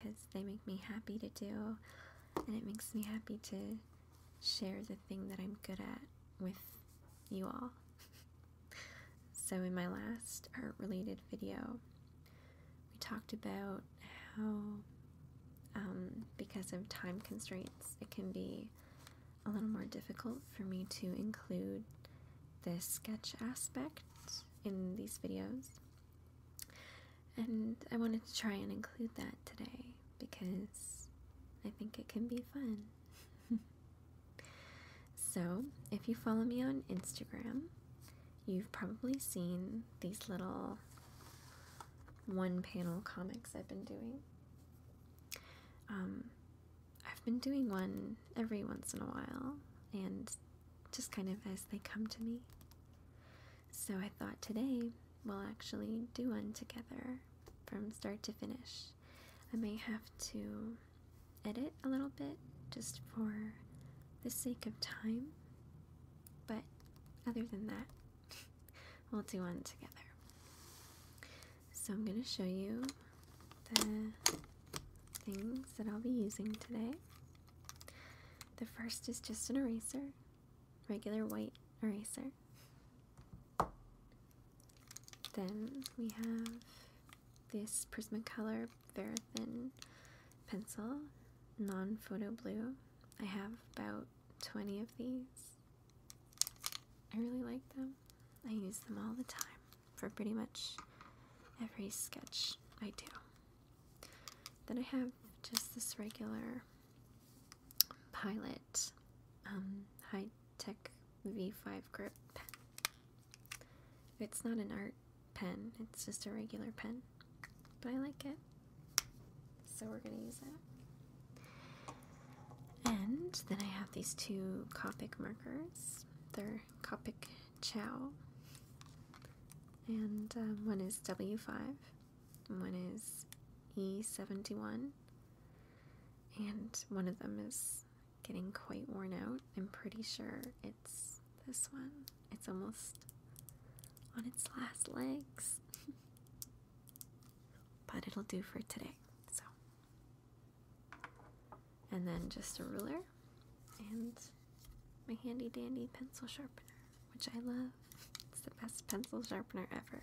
because they make me happy to do, and it makes me happy to share the thing that I'm good at with you all. so, in my last art related video, we talked about how, um, because of time constraints, it can be a little more difficult for me to include the sketch aspect in these videos and I wanted to try and include that today because I think it can be fun. so, if you follow me on Instagram, you've probably seen these little one panel comics I've been doing. Um, I've been doing one every once in a while and just kind of as they come to me. So I thought today we'll actually do one together from start to finish. I may have to edit a little bit just for the sake of time, but other than that, we'll do one together. So I'm going to show you the things that I'll be using today the first is just an eraser, regular white eraser. Then we have this Prismacolor Verithin pencil, non photo blue. I have about 20 of these. I really like them. I use them all the time for pretty much every sketch I do. Then I have just this regular Pilot um, High Tech V5 grip pen. It's not an art pen, it's just a regular pen, but I like it, so we're gonna use that. And then I have these two Copic markers. They're Copic Chow. Um, and one is W5, one is E71, and one of them is getting quite worn out. I'm pretty sure it's this one, it's almost on its last legs, but it'll do for today. So, and then just a ruler and my handy dandy pencil sharpener, which I love. It's the best pencil sharpener ever.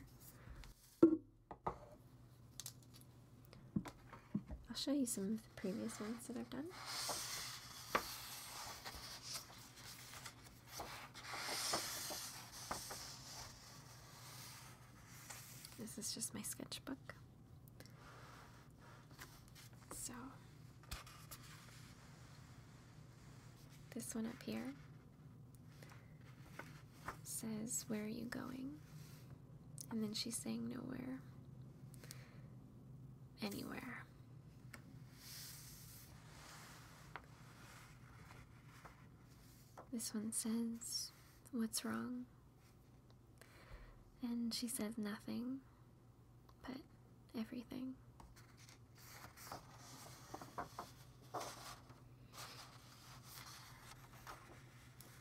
I'll show you some of the previous ones that I've done. This is just my sketchbook. So, this one up here says, Where are you going? And then she's saying, Nowhere. Anywhere. This one says, What's wrong? And she says nothing but everything.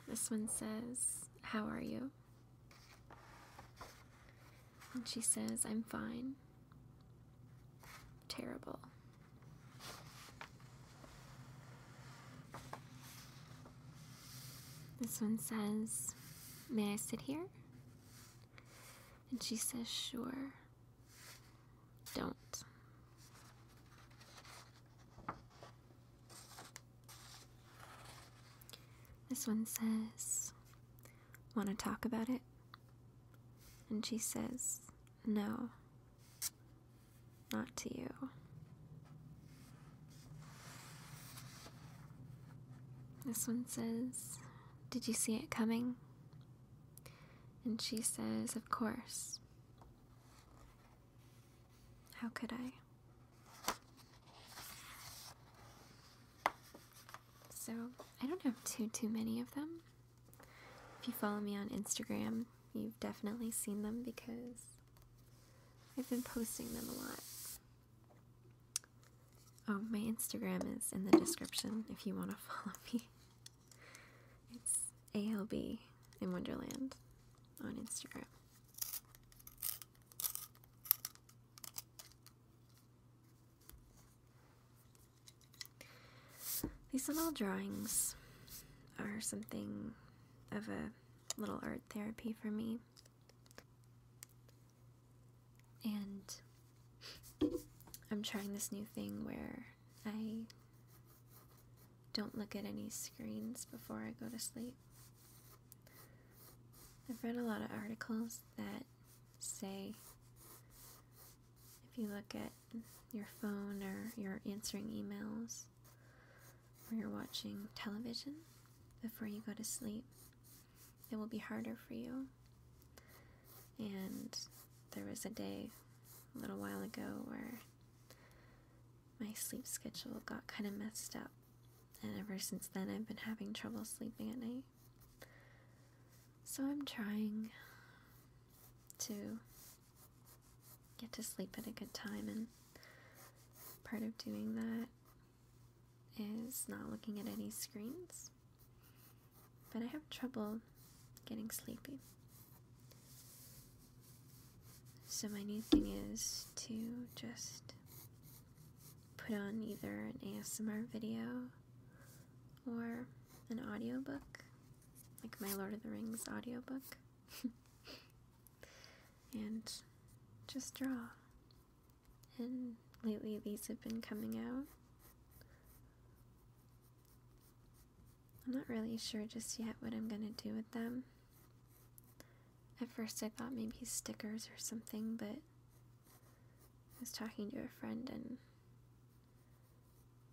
This one says, How are you? And she says, I'm fine. Terrible. This one says, May I sit here? And she says, Sure. Don't. This one says, Want to talk about it? And she says, No, not to you. This one says, Did you see it coming? And she says, Of course. How could I? So, I don't have too, too many of them. If you follow me on Instagram, you've definitely seen them because I've been posting them a lot. Oh, my Instagram is in the description if you want to follow me. It's ALB in Wonderland on Instagram. These little drawings are something of a little art therapy for me. And I'm trying this new thing where I don't look at any screens before I go to sleep. I've read a lot of articles that say if you look at your phone or you're answering emails or you're watching television before you go to sleep, it will be harder for you. And there was a day a little while ago where my sleep schedule got kind of messed up, and ever since then I've been having trouble sleeping at night. So I'm trying to get to sleep at a good time, and part of doing that is not looking at any screens, but I have trouble getting sleepy. So, my new thing is to just put on either an ASMR video or an audiobook, like my Lord of the Rings audiobook, and just draw and lately these have been coming out. I'm not really sure just yet what I'm gonna do with them. At first, I thought maybe stickers or something, but I was talking to a friend and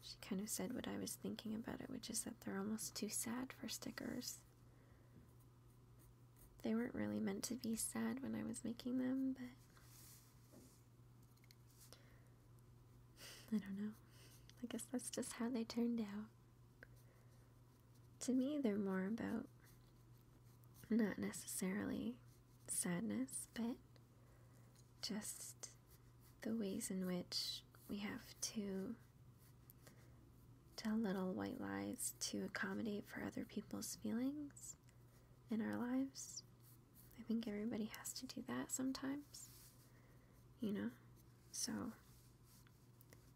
she kind of said what I was thinking about it, which is that they're almost too sad for stickers they weren't really meant to be sad when I was making them, but I don't know. I guess that's just how they turned out. To me, they're more about not necessarily sadness, but just the ways in which we have to tell little white lies to accommodate for other people's feelings in our lives. I think everybody has to do that sometimes, you know? So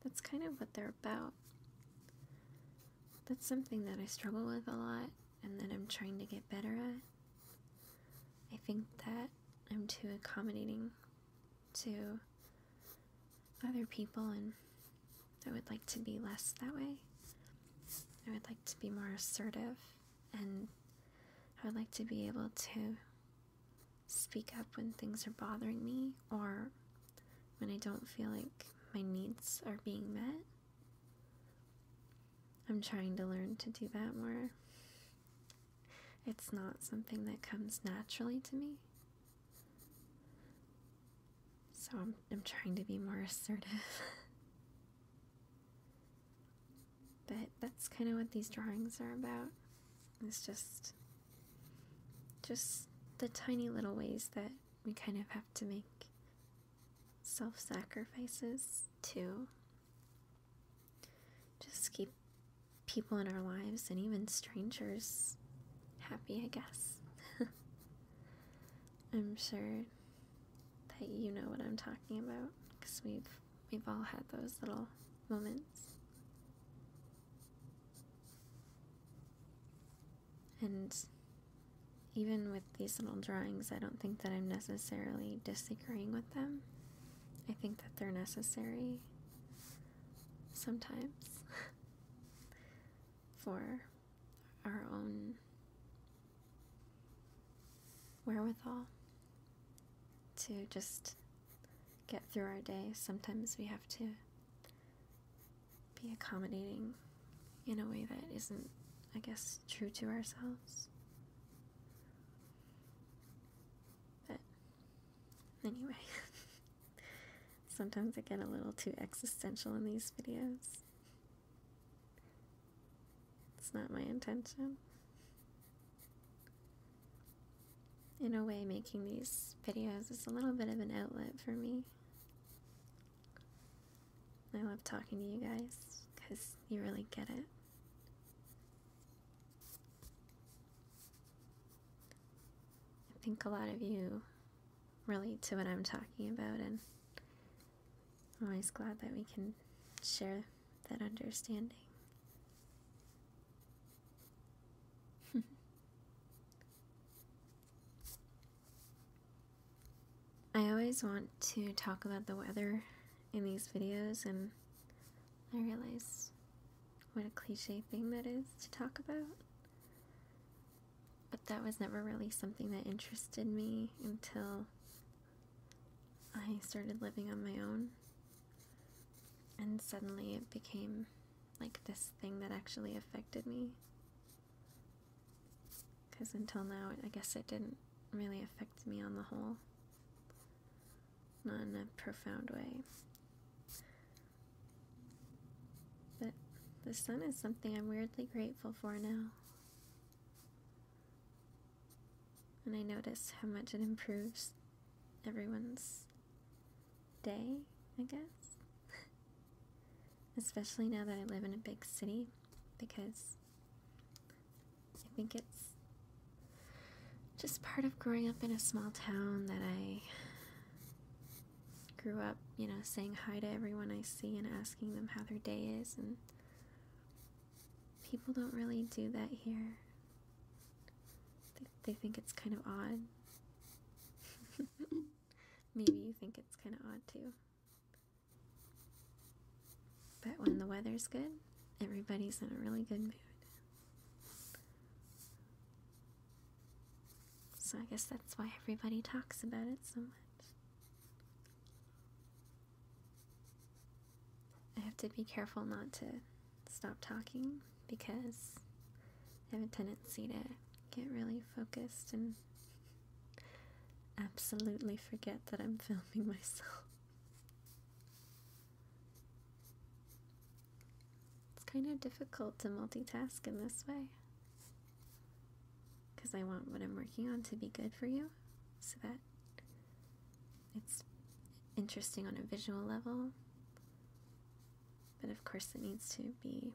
that's kind of what they're about. That's something that I struggle with a lot and that I'm trying to get better at. I think that I'm too accommodating to other people, and I would like to be less that way. I would like to be more assertive, and I would like to be able to speak up when things are bothering me or when I don't feel like my needs are being met. I'm trying to learn to do that more. It's not something that comes naturally to me. So I'm, I'm trying to be more assertive. but that's kind of what these drawings are about. It's just just the tiny little ways that we kind of have to make self-sacrifices to just keep people in our lives and even strangers happy, I guess. I'm sure that you know what I'm talking about because we've we've all had those little moments. And even with these little drawings, I don't think that I'm necessarily disagreeing with them. I think that they're necessary sometimes for our own wherewithal to just get through our day. Sometimes we have to be accommodating in a way that isn't, I guess, true to ourselves. But anyway, Sometimes I get a little too existential in these videos. It's not my intention. In a way, making these videos is a little bit of an outlet for me. I love talking to you guys because you really get it. I think a lot of you relate to what I'm talking about, and I'm always glad that we can share that understanding. I always want to talk about the weather in these videos, and I realize what a cliche thing that is to talk about but that was never really something that interested me until I started living on my own. And suddenly it became like this thing that actually affected me. Because until now, I guess it didn't really affect me on the whole. Not in a profound way. But the sun is something I'm weirdly grateful for now. And I notice how much it improves everyone's day, I guess. Especially now that I live in a big city, because I think it's just part of growing up in a small town that I grew up, you know, saying hi to everyone I see and asking them how their day is, and people don't really do that here. They, think it's kind of odd. Maybe you think it's kind of odd too. But when the weather's good, everybody's in a really good mood. So I guess that's why everybody talks about it so much. I have to be careful not to stop talking because I have a tendency to get really focused and absolutely forget that I'm filming myself. It's kind of difficult to multitask in this way. Because I want what I'm working on to be good for you so that it's interesting on a visual level. But of course, it needs to be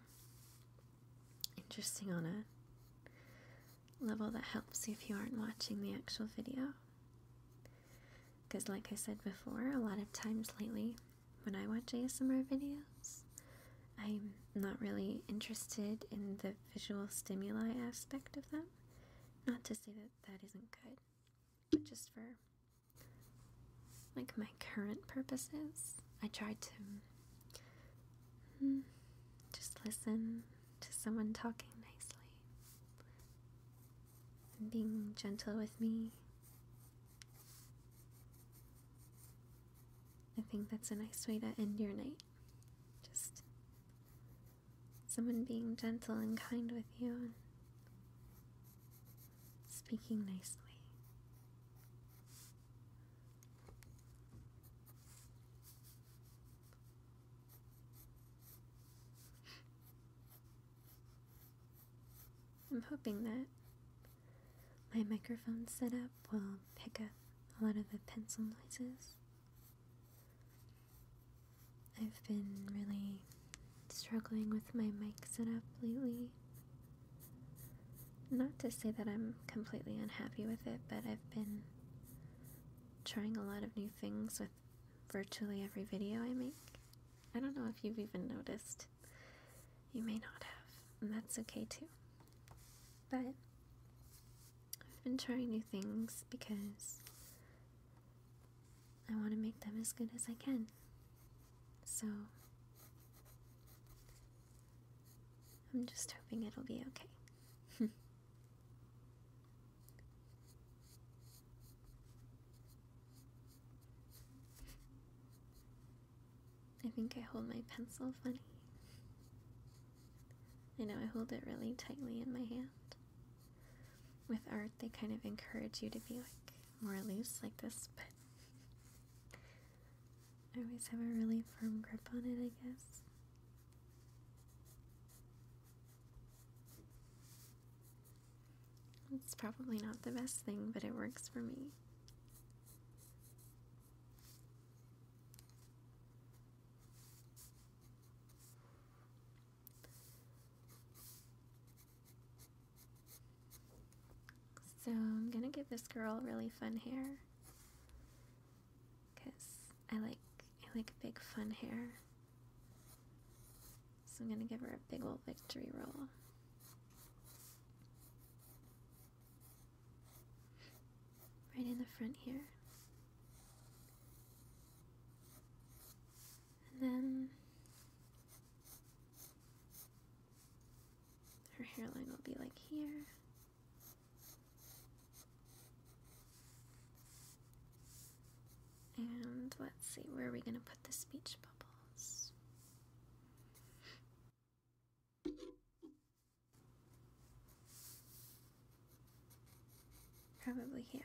interesting on a level that helps if you aren't watching the actual video. Because, like I said before, a lot of times lately when I watch ASMR videos. I'm not really interested in the visual stimuli aspect of them. Not to say that that isn't good, but just for like my current purposes, I try to hmm, just listen to someone talking nicely and being gentle with me I think that's a nice way to end your night. Just someone being gentle and kind with you and speaking nicely. I'm hoping that my microphone setup will pick up a lot of the pencil noises. I've been really struggling with my mic setup lately. Not to say that I'm completely unhappy with it, but I've been trying a lot of new things with virtually every video I make. I don't know if you've even noticed. You may not have, and that's okay too. But I've been trying new things because I want to make them as good as I can. So I'm just hoping it'll be okay. I think I hold my pencil funny. I know I hold it really tightly in my hand. With art, they kind of encourage you to be like more loose like this, but I always have a really firm grip on it, I guess. It's probably not the best thing, but it works for me. So I'm gonna give this girl really fun hair because I like I like big fun hair. So I'm gonna give her a big old victory roll. Right in the front here. And then her hairline will be like here. And let's see, where are we going to put the speech bubbles? Probably here.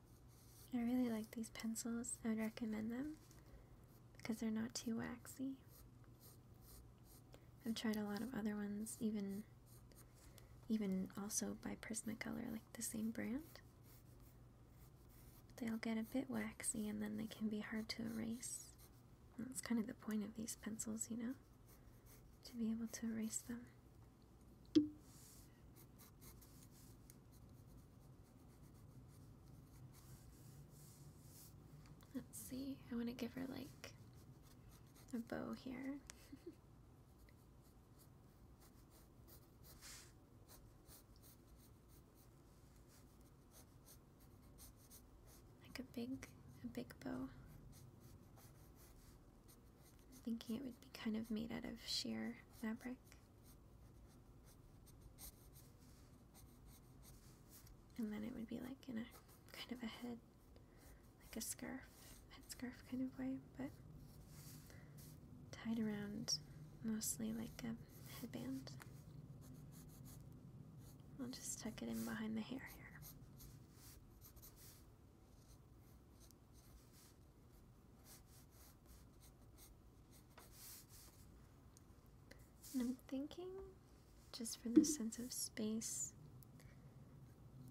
I really like these pencils. I would recommend them because they're not too waxy. I've tried a lot of other ones, even even also by Prismacolor, like the same brand. they all get a bit waxy and then they can be hard to erase. that's kind of the point of these pencils, you know? To be able to erase them. Let's see, I want to give her like a bow here. like a big, a big bow thinking it would be kind of made out of sheer fabric. And then it would be like in a kind of a head, like a scarf, head scarf kind of way, but tied around mostly like a headband. I'll just tuck it in behind the hair here. I'm thinking, just for the sense of space,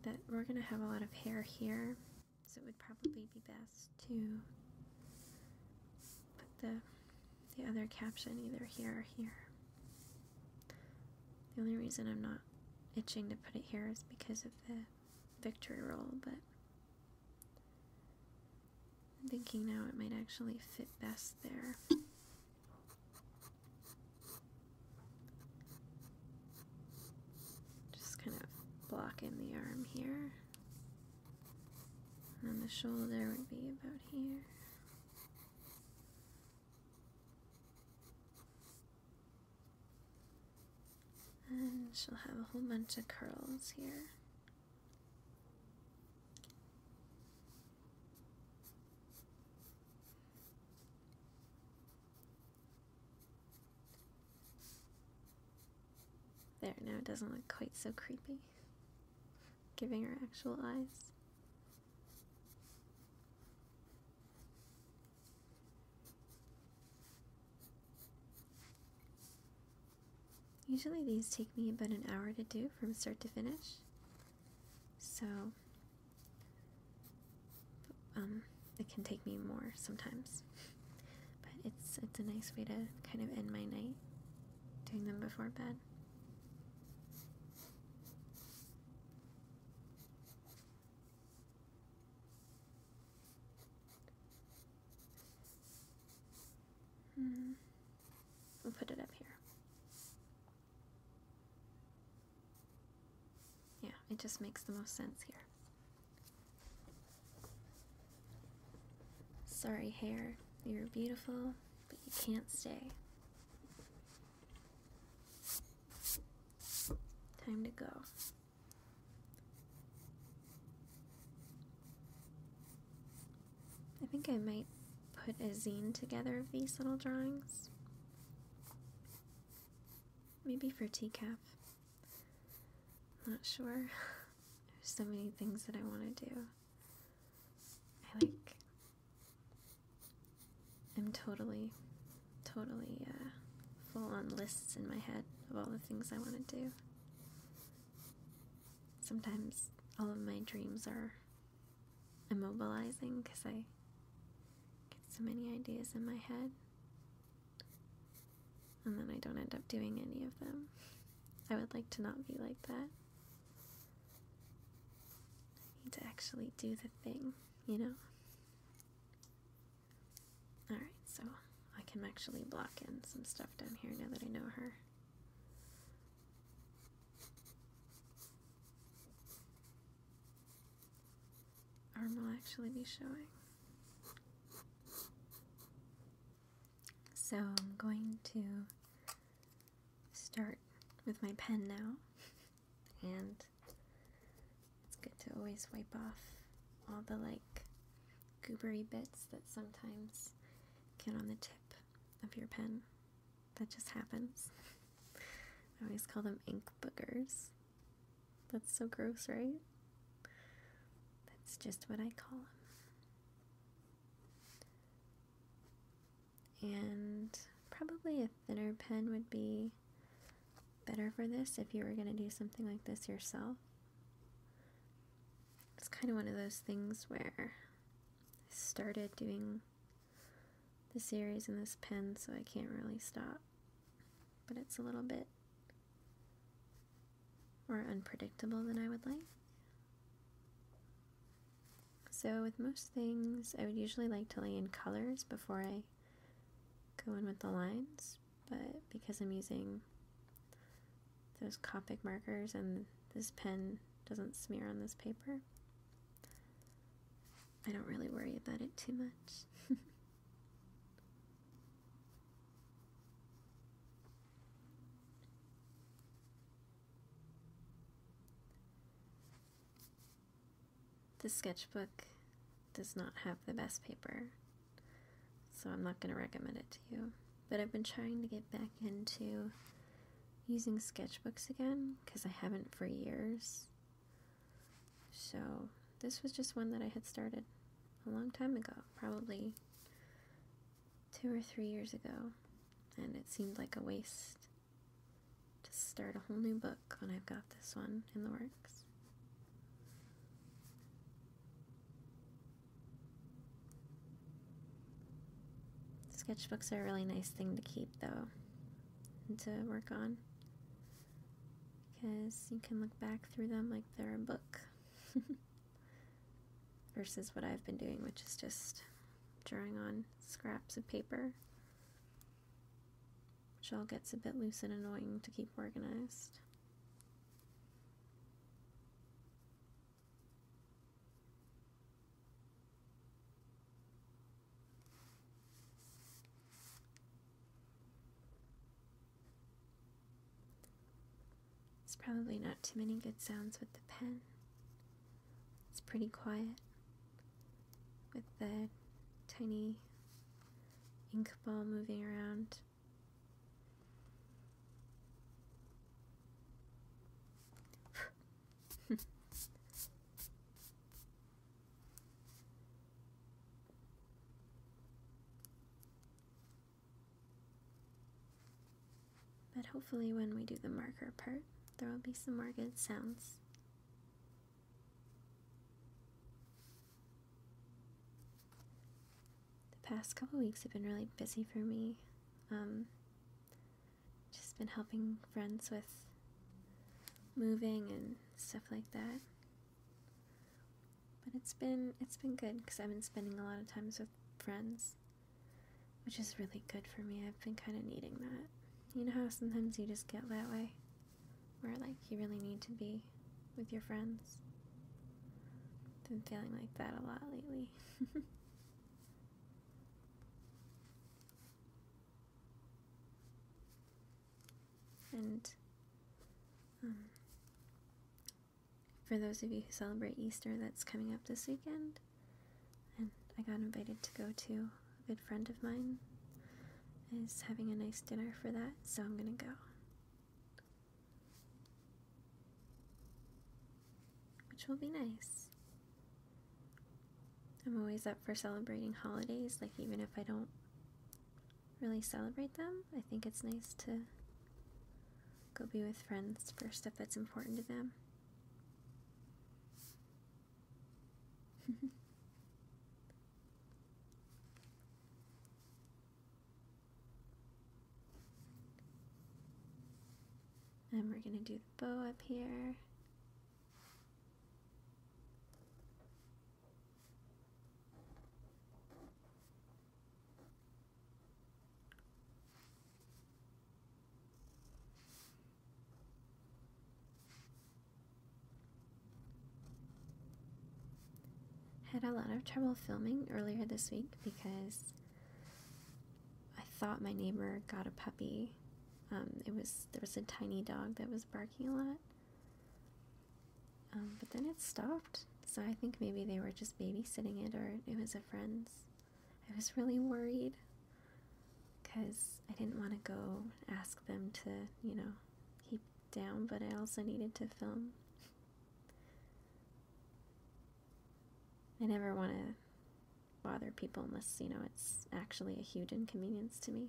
that we're going to have a lot of hair here, so it would probably be best to put the, the other caption either here or here. The only reason I'm not itching to put it here is because of the victory roll, but I'm thinking now it might actually fit best there. Just kind of block in the arm here. And the shoulder would be about here. And she'll have a whole bunch of curls here. There, now it doesn't look quite so creepy. Giving her actual eyes. Usually these take me about an hour to do from start to finish. So um, it can take me more sometimes. But it's it's a nice way to kind of end my night doing them before bed. Hmm. We'll put it up here. Yeah, it just makes the most sense here. Sorry, hair. You're beautiful, but you can't stay. Time to go. I think I might put a zine together of these little drawings. Maybe for TCAP. Not sure. There's so many things that I want to do. I like. I'm totally totally uh, full on lists in my head of all the things I want to do. Sometimes all of my dreams are immobilizing because I get so many ideas in my head. And then I don't end up doing any of them. I would like to not be like that. I need to actually do the thing, you know? Alright, so I can actually block in some stuff down here now that I know her. Arm will actually be showing. So I'm going to start with my pen now and it's good to always wipe off all the like goobery bits that sometimes get on the tip of your pen. That just happens. I always call them ink boogers. That's so gross, right? That's just what I call them. And probably a thinner pen would be better for this if you were going to do something like this yourself. It's kind of one of those things where I started doing the series in this pen, so I can't really stop. But it's a little bit more unpredictable than I would like. So with most things, I would usually like to lay in colors before I go in with the lines, but because I'm using those Copic markers and this pen doesn't smear on this paper, I don't really worry about it too much. The sketchbook does not have the best paper, so I'm not going to recommend it to you. But I've been trying to get back into using sketchbooks again because I haven't for years. So, this was just one that I had started a long time ago, probably two or three years ago, and it seemed like a waste to start a whole new book when I've got this one in the works. Sketchbooks are a really nice thing to keep, though, and to work on. Because you can look back through them like they're a book. Versus what I've been doing, which is just drawing on scraps of paper which all gets a bit loose and annoying to keep organized. It's probably not too many good sounds with the pen. It's pretty quiet with the tiny ink ball moving around. but hopefully, when we do the marker part, there will be some more good sounds. The past couple weeks have been really busy for me. Um, just been helping friends with moving and stuff like that. But it's been it's been good because I've been spending a lot of times with friends, which is really good for me. I've been kind of needing that. You know how sometimes you just get that way where like you really need to be with your friends. Been feeling like that a lot lately. and um, for those of you who celebrate Easter, that's coming up this weekend. And I got invited to go to a good friend of mine is having a nice dinner for that, so I'm gonna go. Which will be nice. I'm always up for celebrating holidays, like, even if I don't really celebrate them, I think it's nice to go be with friends for stuff that's important to them. And we're going to do the bow up here. Had a lot of trouble filming earlier this week because I thought my neighbor got a puppy. Um, it was there was a tiny dog that was barking a lot, um, but then it stopped. So I think maybe they were just babysitting it, or it was a friend's. I was really worried because I didn't want to go ask them to, you know, keep down, but I also needed to film. I never want to bother people unless, you know, it's actually a huge inconvenience to me.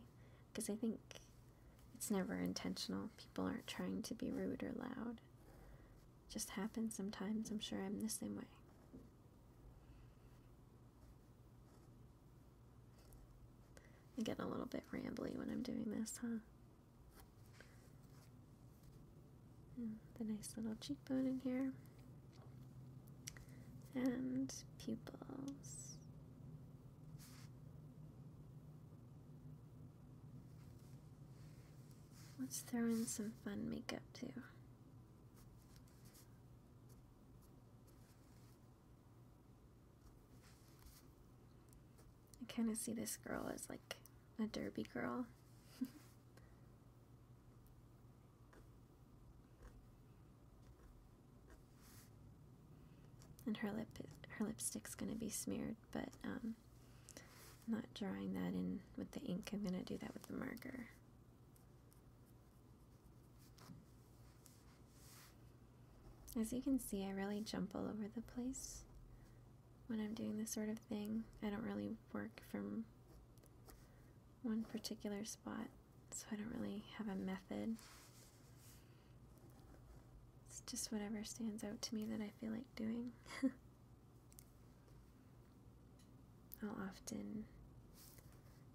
Because I think it's never intentional. People aren't trying to be rude or loud. It just happens sometimes. I'm sure I'm the same way. I'm getting a little bit rambly when I'm doing this, huh? Mm, the nice little cheekbone in here. And pupils. Let's throw in some fun makeup too. I kind of see this girl as like a derby girl. and her lip her lipstick's going to be smeared, but um I'm not drawing that in with the ink. I'm going to do that with the marker. As you can see, I really jump all over the place when I'm doing this sort of thing. I don't really work from one particular spot, so I don't really have a method. It's just whatever stands out to me that I feel like doing. I'll often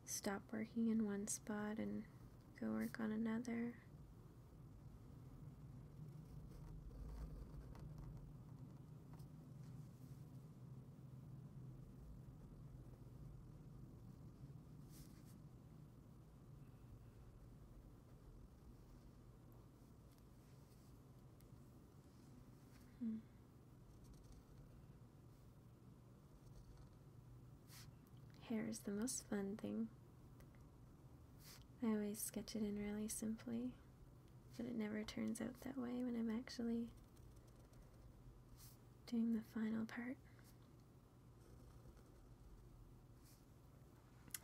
stop working in one spot and Go work on another. Hmm. Hair is the most fun thing. I always sketch it in really simply, but it never turns out that way when I'm actually doing the final part.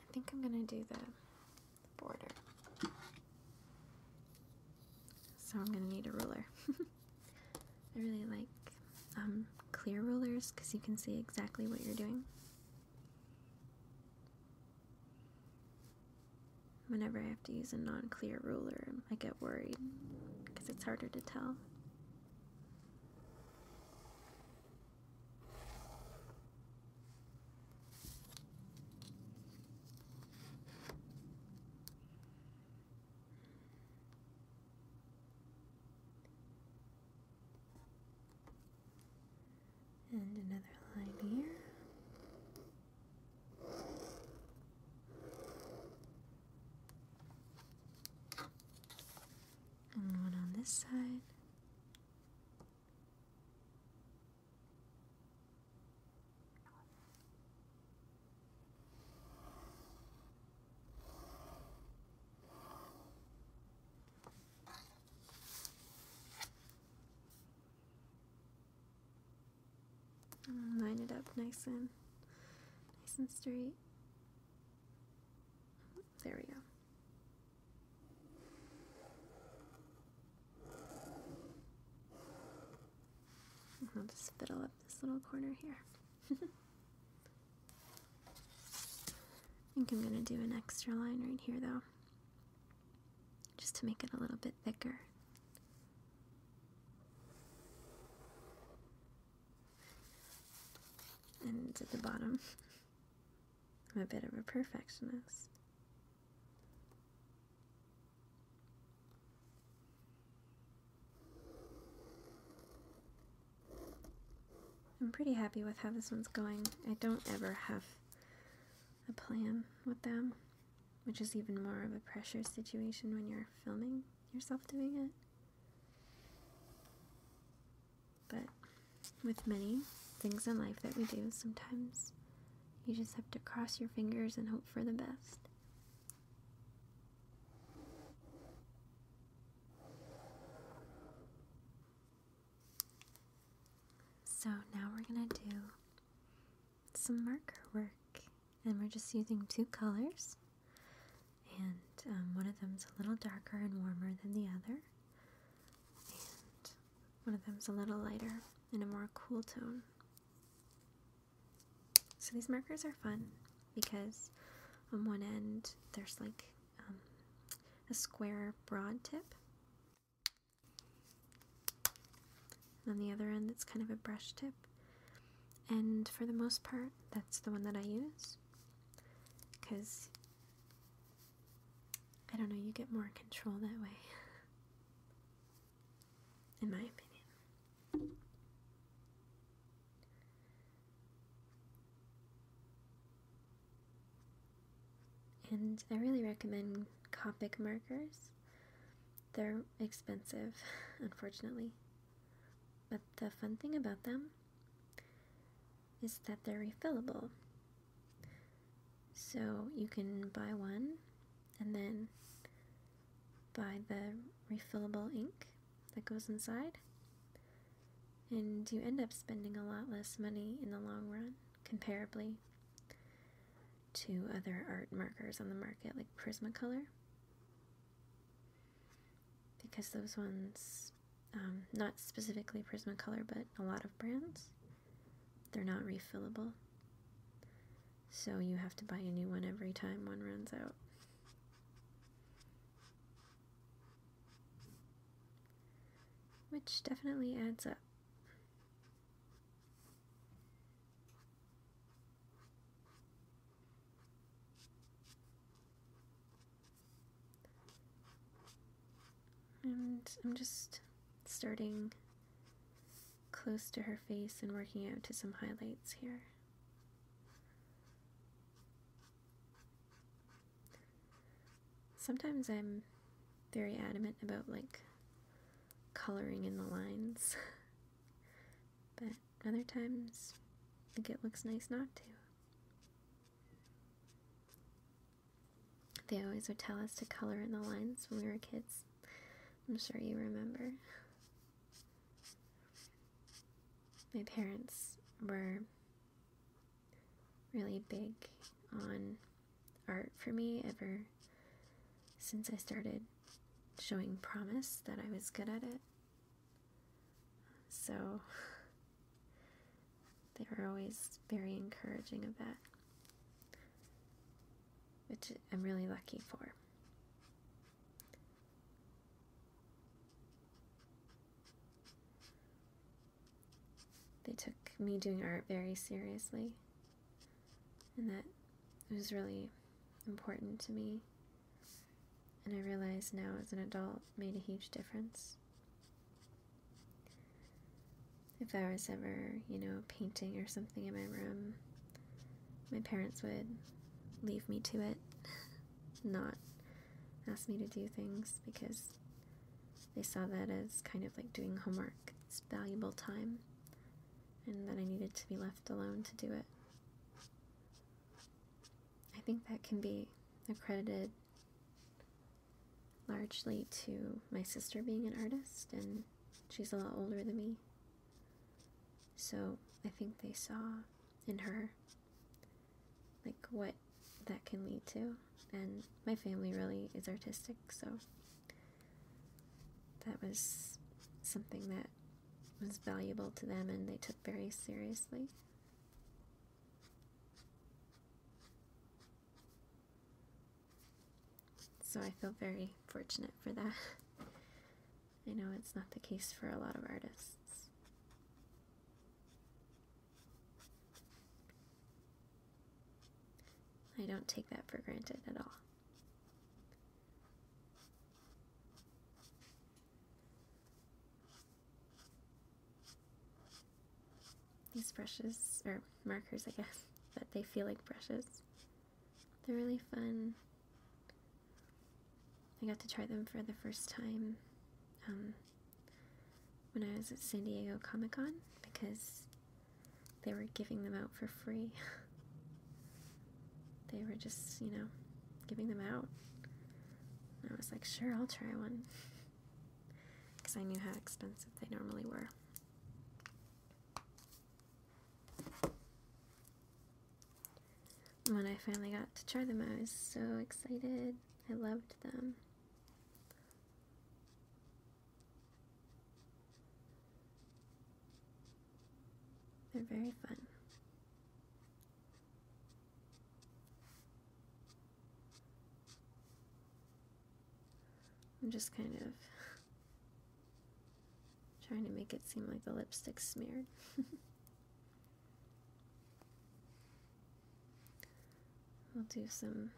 I think I'm gonna do the, border. So I'm gonna need a ruler. I really like um, clear rulers because you can see exactly what you're doing. Whenever I have to use a non clear ruler, I get worried because it's harder to tell. And another line here. And one on this side. Mm, line it up nice and nice and straight. There we go. I'll just fiddle up this little corner here. I think I'm gonna do an extra line right here though, just to make it a little bit thicker. And at the bottom, I'm a bit of a perfectionist. I'm pretty happy with how this one's going. I don't ever have a plan with them, which is even more of a pressure situation when you're filming yourself doing it. But with many things in life that we do, sometimes you just have to cross your fingers and hope for the best. So now we're going to do some marker work and we're just using two colors and um, one of them is a little darker and warmer than the other and one of them is a little lighter and a more cool tone. So these markers are fun because on one end there's like um, a square broad tip, and on the other end it's kind of a brush tip. And for the most part, that's the one that I use because I don't know, you get more control that way, in my opinion. And I really recommend Copic markers. They're expensive, unfortunately. But the fun thing about them is that they're refillable. So you can buy one and then buy the refillable ink that goes inside, and you end up spending a lot less money in the long run, comparably to other art markers on the market like Prismacolor. Because those ones, um, not specifically Prismacolor, but a lot of brands, they're not refillable. So you have to buy a new one every time one runs out. Which definitely adds up. And I'm just starting close to her face and working out to some highlights here. Sometimes I'm very adamant about like coloring in the lines, but other times I think it looks nice not to. They always would tell us to color in the lines when we were kids. I'm sure you remember my parents were really big on art for me ever since I started showing promise that I was good at it. So they were always very encouraging of that, which I'm really lucky for. They took me doing art very seriously, and that was really important to me. And I realized now as an adult made a huge difference. If I was ever, you know, painting or something in my room, my parents would leave me to it. not ask me to do things because they saw that as kind of like doing homework. It's valuable time, and that I needed to be left alone to do it. I think that can be accredited largely to my sister being an artist, and she's a lot older than me. So I think they saw in her like what that can lead to and my family really is artistic so that was something that was valuable to them and they took very seriously so i feel very fortunate for that I know it's not the case for a lot of artists. I don't take that for granted at all. These brushes, or markers, I guess, but they feel like brushes. They're really fun I got to try them for the first time um, when I was at San Diego Comic Con because they were giving them out for free. they were just, you know, giving them out. I was like, sure, I'll try one. Because I knew how expensive they normally were when I finally got to try them, I was so excited. I loved them. They're very fun. I'm just kind of trying to make it seem like the lipstick smeared. We'll do some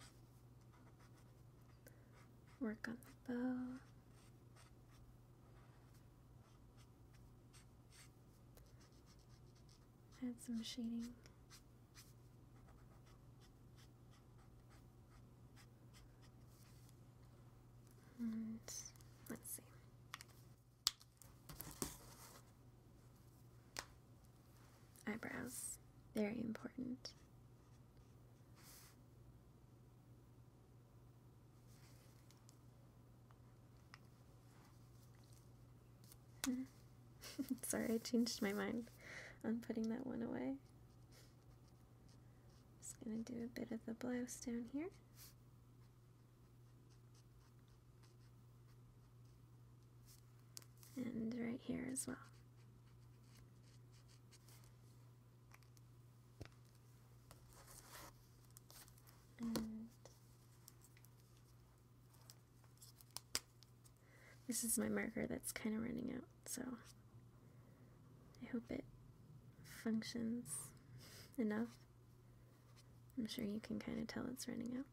work on the bow. Add some shading. And let's see. Eyebrows, very important. Hmm. Sorry, I changed my mind on putting that one away. Just gonna do a bit of the blouse down here. And right here as well. And this is my marker that's kind of running out, so I hope it functions enough. I'm sure you can kind of tell it's running out.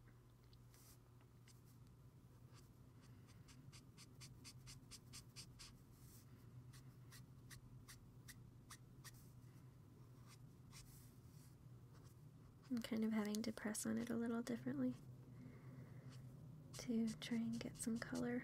I'm kind of having to press on it a little differently to try and get some color.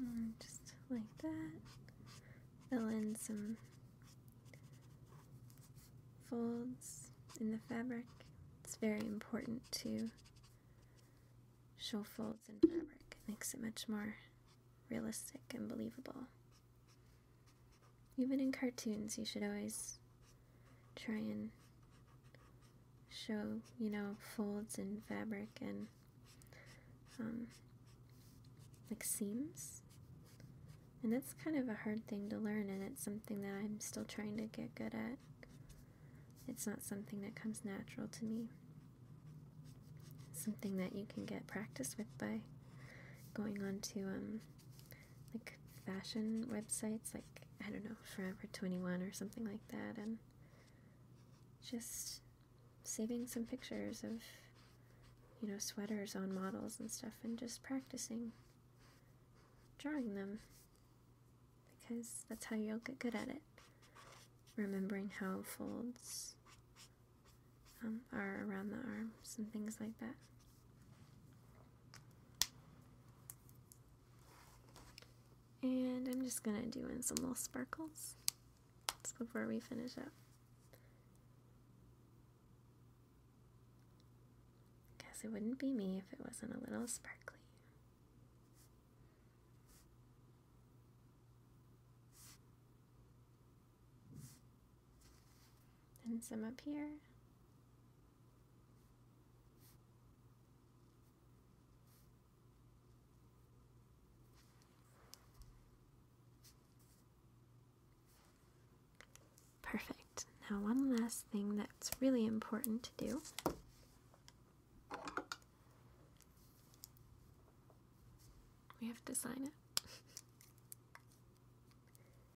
Mm, just like that. Fill in some folds in the fabric. It's very important to show folds in fabric. It makes it much more realistic and believable. Even in cartoons, you should always try and show, you know, folds and fabric and um, like seams. And that's kind of a hard thing to learn, and it's something that I'm still trying to get good at. It's not something that comes natural to me. something that you can get practice with by going on to um, like fashion websites, like I don't know, Forever 21 or something like that, and just saving some pictures of, you know, sweaters on models and stuff, and just practicing drawing them because that's how you'll get good at it. Remembering how it folds um, are around the arms and things like that. And I'm just going to do in some little sparkles before we finish up. Guess it wouldn't be me if it wasn't a little sparkly and some up here. Perfect. Now one last thing that's really important to do we have to sign it.